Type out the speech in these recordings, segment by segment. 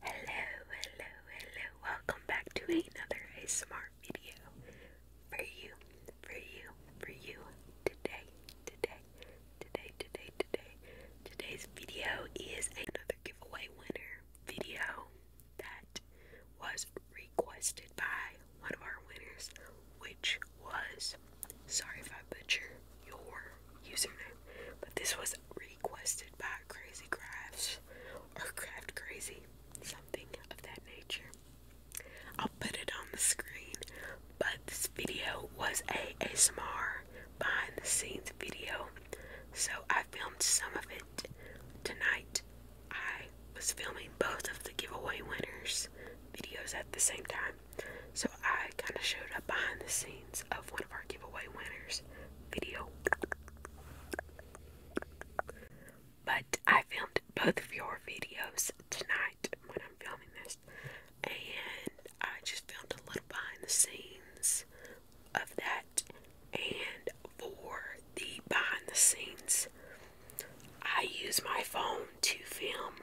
Hello, hello, hello. Welcome back to another ASMR video for you, for you, for you today, today, today, today, today. Today's video is another giveaway winner video that was requested by one of our winners, which was sorry if I butchered your username, but this was requested by Crazy Crafts or Craft Crazy, something of that nature. I'll put it on the screen, but this video was a ASMR behind the scenes video, so I filmed some of it tonight. I was filming both of the giveaway winners videos at the same time. So I kind of showed up behind the scenes of one of our giveaway winners video. But I filmed both of your videos tonight when I'm filming this, and I just filmed a little behind the scenes of that. And for the behind the scenes, I use my phone to film.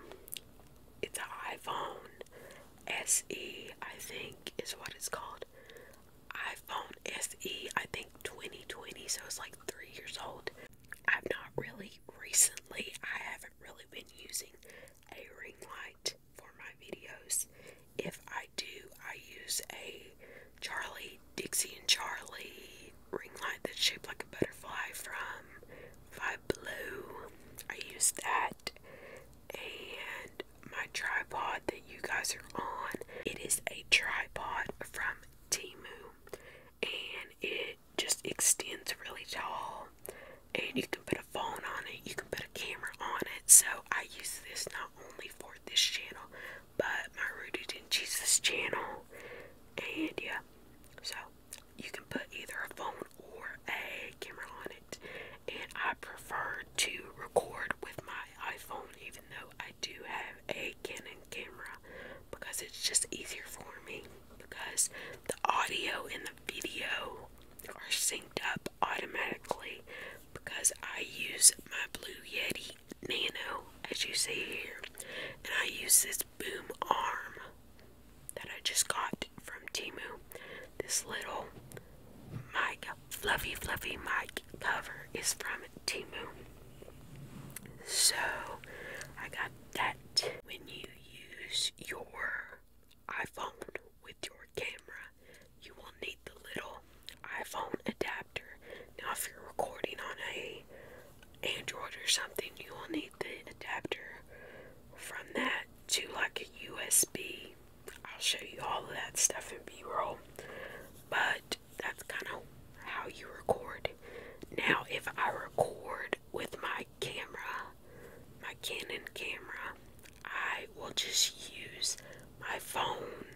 It's an iPhone SE, I think is what it's called. iPhone SE, I think 2020, so it's like three years old. I've not really recently, I haven't really been using a ring light for my videos. If I do, I use a Charlie, Dixie and Charlie ring light that's shaped like a butterfly from Vibe Blue. I use that and my tripod that you guys are on. It is a tripod from Timu and it just extends really tall and you can put a phone on it, you can put a camera on it. So I use this not only for this channel but my Rooted in Jesus channel and yeah. So you can put either a phone or a camera on it. And I prefer to record with my iPhone, even though I do have a Canon camera, because it's just easier for me. Because the audio and the video are synced up automatically, because I use my Blue Yeti Nano, as you see here, and I use this boom arm that I just got from Timu. This little mic, fluffy, fluffy mic cover is from Timu. So I got that. When you use your iPhone with your camera, you will need the little iPhone adapter. Now, if you're recording on a Android or something, you will need a adapter from that to like a USB. I'll show you all of that stuff in B roll, but that's kind of how you record. Now, if I record with my camera, my Canon camera, I will just use my phone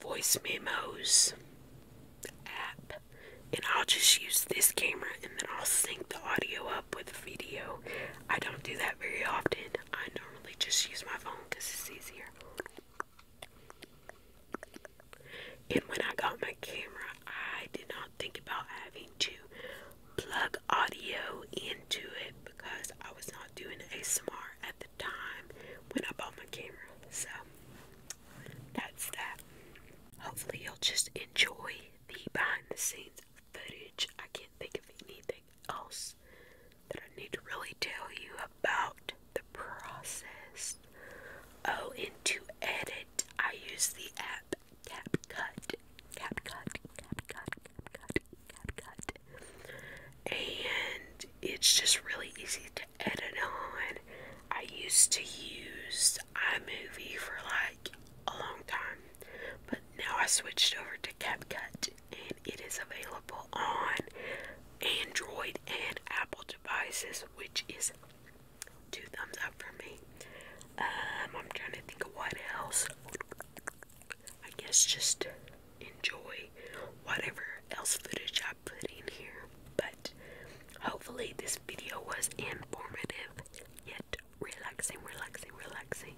voice memos app and I'll just use this camera and then I'll sync the audio up with the video. I don't do that very often. I normally just use my phone because it's easier. And when I got my camera, I did not think about having to plug audio into it because I was not doing ASMR at the time when I bought my camera. So that's that. Hopefully, you'll just enjoy the behind the scenes footage. I can't think of anything else that I need to really tell you about the process. Oh, and to edit, I use the app CapCut. CapCut, CapCut, CapCut, CapCut. And it's just really easy to edit on. I used to use iMovie for like a long time. But now I switched over to CapCut and it is available on Android and Apple devices, which is two thumbs up for me. Um, I'm trying to think of what else. I guess just enjoy whatever else footage I put in here. But hopefully, this video was informative. Yeah, relaxing, relaxing, relaxing.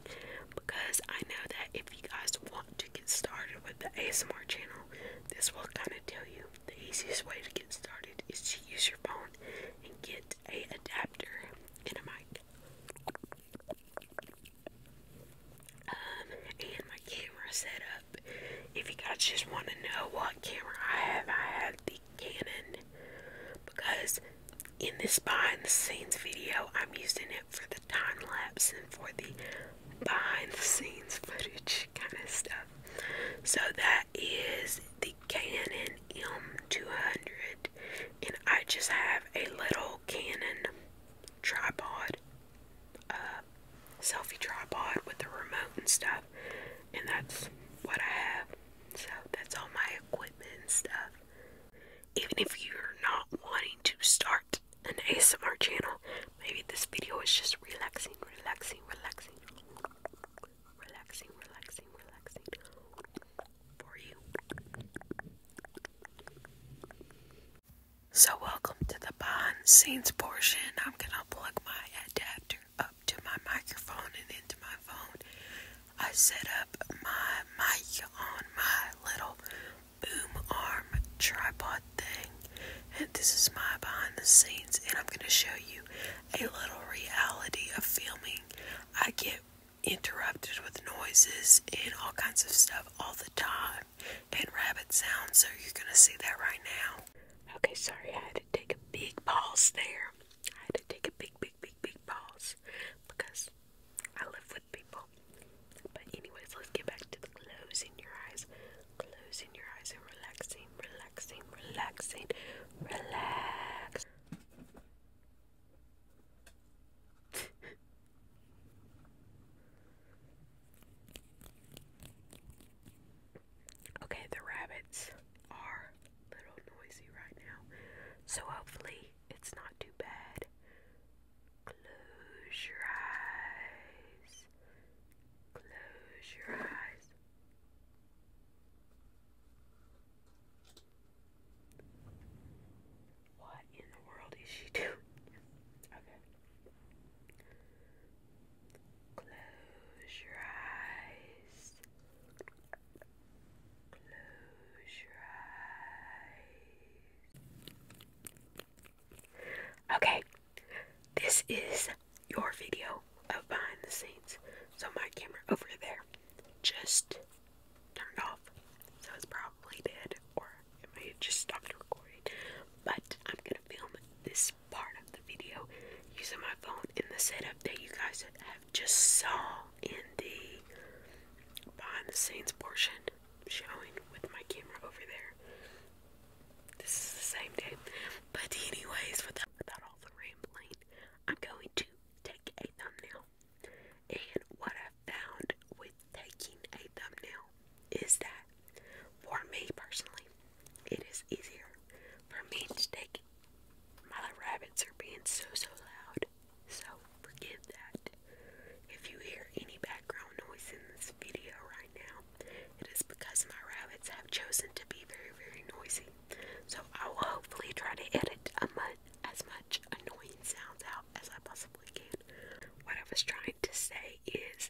Because I know that if you guys want to get started with the ASMR channel, this will kind of tell you the easiest way to get started is to use your phone and get a adapter and a mic. Um, and my camera setup. If you guys just want to know what camera I have, I have the Canon because in this behind the scenes video, I'm using it for the time lapse and for the behind the scenes footage kind of stuff. So that is the Canon M200, and I just have a little Canon tripod, uh, selfie tripod with the remote and stuff, and that's what I have. So that's all my equipment and stuff. Even if you're not wanting to start an ASMR channel, maybe this video is just relaxing, relaxing, relaxing, relaxing, relaxing, relaxing for you. So, welcome to the behind scenes portion. I'm gonna plug my adapter up to my microphone and into my phone. I set up my mic on my little boom arm tripod thing. And this is my behind the scenes, and I'm going to show you a little reality of filming. I get interrupted with noises and all kinds of stuff all the time, and rabbit sounds, so you're going to see that right now. Okay, sorry, I had to take a big pause there take a big, big, big, big pause because I live with people. But, anyways, let's get back to the closing your eyes, closing your eyes, and relaxing, relaxing, relaxing, relax. Okay, the rabbits are a little noisy right now, so hopefully it's not too bad. Close your eyes. Close your eyes. What in the world is she doing? Okay. Close your eyes. Close your eyes. Okay, this is your video of behind the scenes. So my camera over there just turned off. So it's probably dead or it may have just stopped recording. But I'm gonna film this this part of the video using my phone in the setup that you guys have just saw in the behind the scenes portion showing with my camera over there. This is the same day. But anyways, without, without all the rambling, I'm going to take a thumbnail. And what I found with taking a thumbnail is that for me personally, it is easier for me to take. My rabbits are being so, so loud. So forgive that. If you hear any background noise in this video right now, it is because my rabbits have chosen to be very, very noisy. So I will hopefully try to edit as much annoying sounds out as I possibly can. What I was trying to say is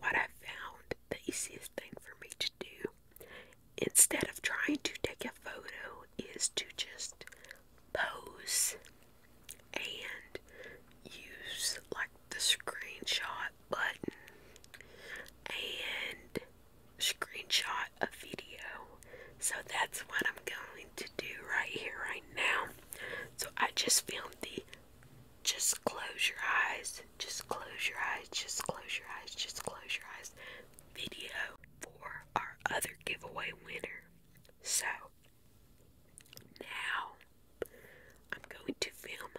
what I found the easiest thing for me to do instead of trying to take a photo is to just pose and use like the screenshot button and screenshot a video. So that's what I'm going to do right here, right now. So I just filmed the just close your eyes just close your eyes. Just close your eyes. Just close your eyes. Video for our other giveaway winner. So now I'm going to film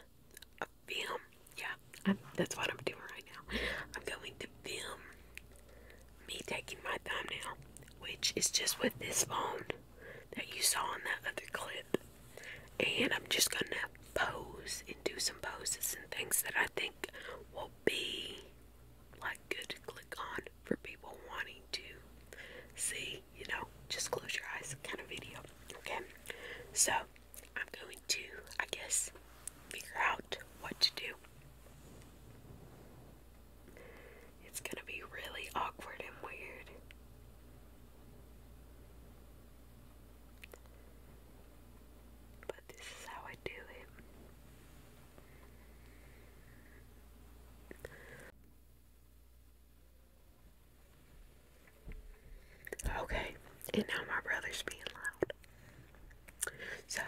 a film. Yeah, that's what I'm doing right now. I'm going to film me taking my thumbnail, which is just with this phone that you saw in that other clip and I'm just gonna pose and do some poses and things that I think will be like good to click on for people wanting to see, you know, just close your eyes kind of video. Okay, so I'm going to, I guess, figure out what to do. It's gonna be really awkward and weird. But this is how I do it. Okay, and now my brother's being loud. So,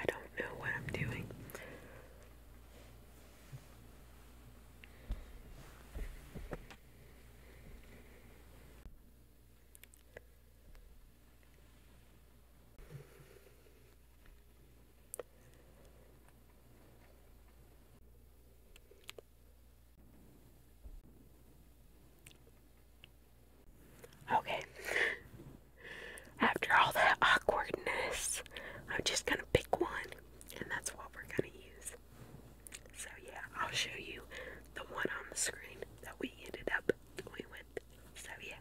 I don't know what I'm doing. Okay. After all that awkwardness, I'm just gonna pick one, and that's what we're gonna use. So, yeah, I'll show you the one on the screen that we ended up going with. So, yeah.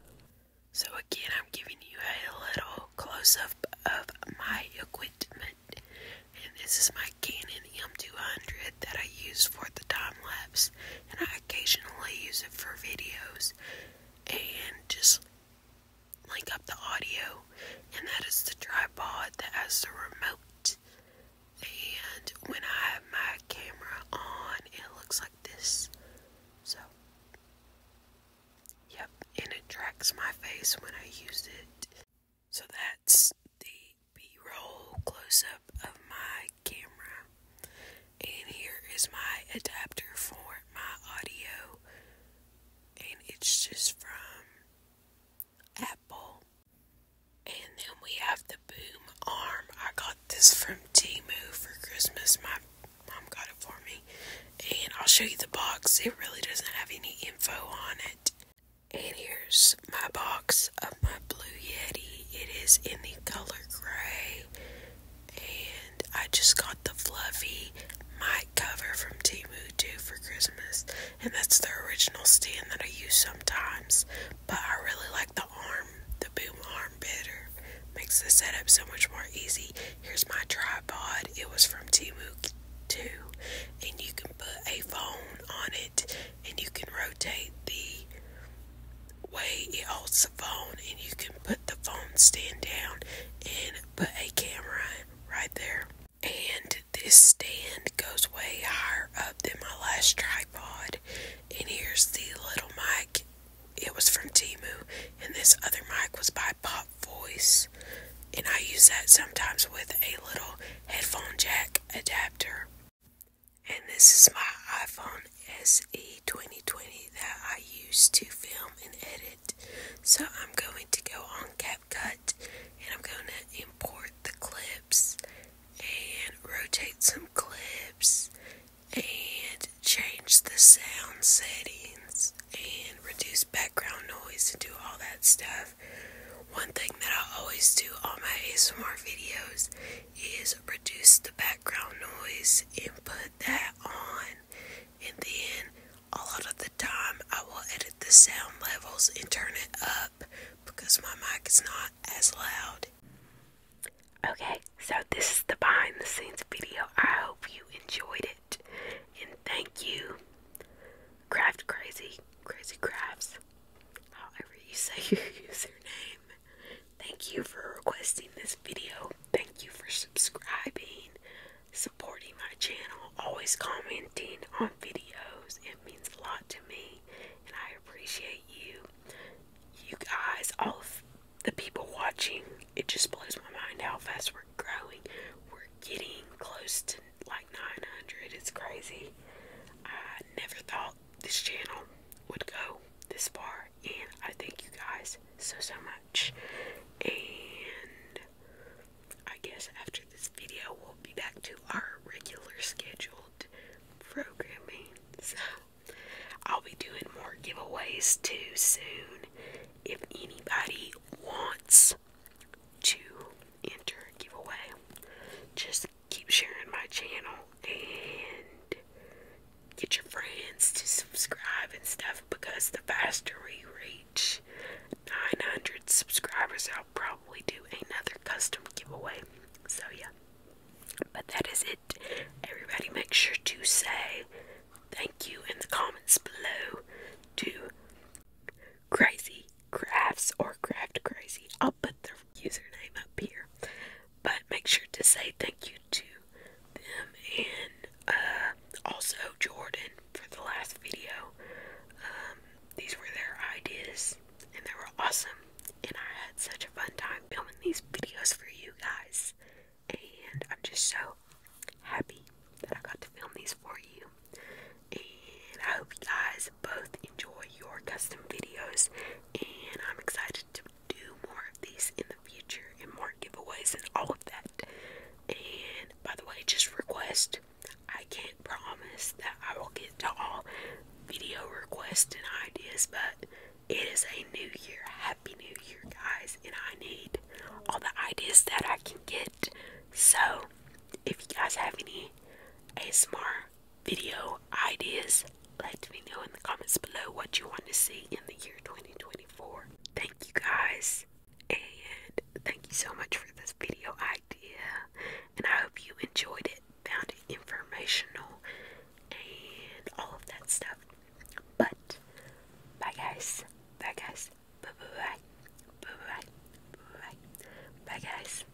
So, again, I'm giving you a little close up of my equipment, and this is my Canon M200 that I use for the time lapse and I occasionally use it for videos and just link up the audio. And that is the tripod that has the remote. And when I have my camera on, it looks like this. So, yep, and it tracks my face when I use it. So that's the B roll close up of my camera. And here is my adapter for my audio. And it's just from Apple. And then we have the boom arm. I got this from t Timu for Christmas. My mom got it for me. And I'll show you the box. It really doesn't have any info on it. And here's my box of my Blue Yeti. It is in the color gray. And I just got the fluffy mic cover from Timu Two for Christmas. And that's the original stand that I use sometimes. But I really like the arm, the boom arm better. Makes the setup so much more easy. Here's my tripod. It was from Timu Two, And you can put a phone on it and you can rotate the way it holds the phone and you can put the phone stand down and put a camera right there and this stand goes way higher up than my last tripod and here's the little mic it was from Timu and this other mic was by Pop Voice and I use that sometimes with a little headphone jack adapter and this is my iPhone SE 2020 that I use to film and edit. So I'm going to go on CapCut and I'm going to import the clips and rotate some clips and change the sound settings and reduce background noise and do all that stuff. One thing that I always do on my ASMR videos is reduce the background noise and put that on. And then a lot of the time I will edit the sound levels and turn it up because my mic is not as loud. Okay, so this is the behind the scenes video. I hope you enjoyed it. And thank you, Craft Crazy, Crazy Crafts, however you say your username. Thank you for requesting this video. Thank you for subscribing, supporting my channel, always commenting on videos. It means a lot to me, and I appreciate you. You guys, all of the people watching, it just blows my mind how fast we're growing. We're getting close to like 900. It's crazy. I never thought this channel would go this far and I thank you guys so so much and I guess after this video we'll be back to our regular scheduled programming so I'll be doing more giveaways too soon if anybody wants to enter a giveaway just keep sharing my channel and get your friends to subscribe and stuff because the faster we reach 900 subscribers, I'll probably do another custom giveaway. So, yeah, but that is it. Everybody, make sure to say thank you in the comments below to Crazy Crafts or Craft Crazy put their username up here. But make sure to say thank you to them and uh, also Jordan for the last video. Um, these were their ideas and they were awesome. And I had such a fun time filming these videos for you guys. And I'm just so happy that I got to film these for you. And I hope you guys both enjoy your custom videos, and I'm excited to do more of these in the future and more giveaways and all of that. And by the way, just request. I can't promise that I will get to all video requests and ideas, but it is a new year. Happy New Year, guys, and I need all the ideas that I can get. So, if you guys have any ASMR video ideas. Let me know in the comments below what you want to see in the year 2024. Thank you guys, and thank you so much for this video idea. And I hope you enjoyed it, found it informational, and all of that stuff. But bye, guys. Bye, guys. Bye, bye, bye, bye, bye, bye, guys.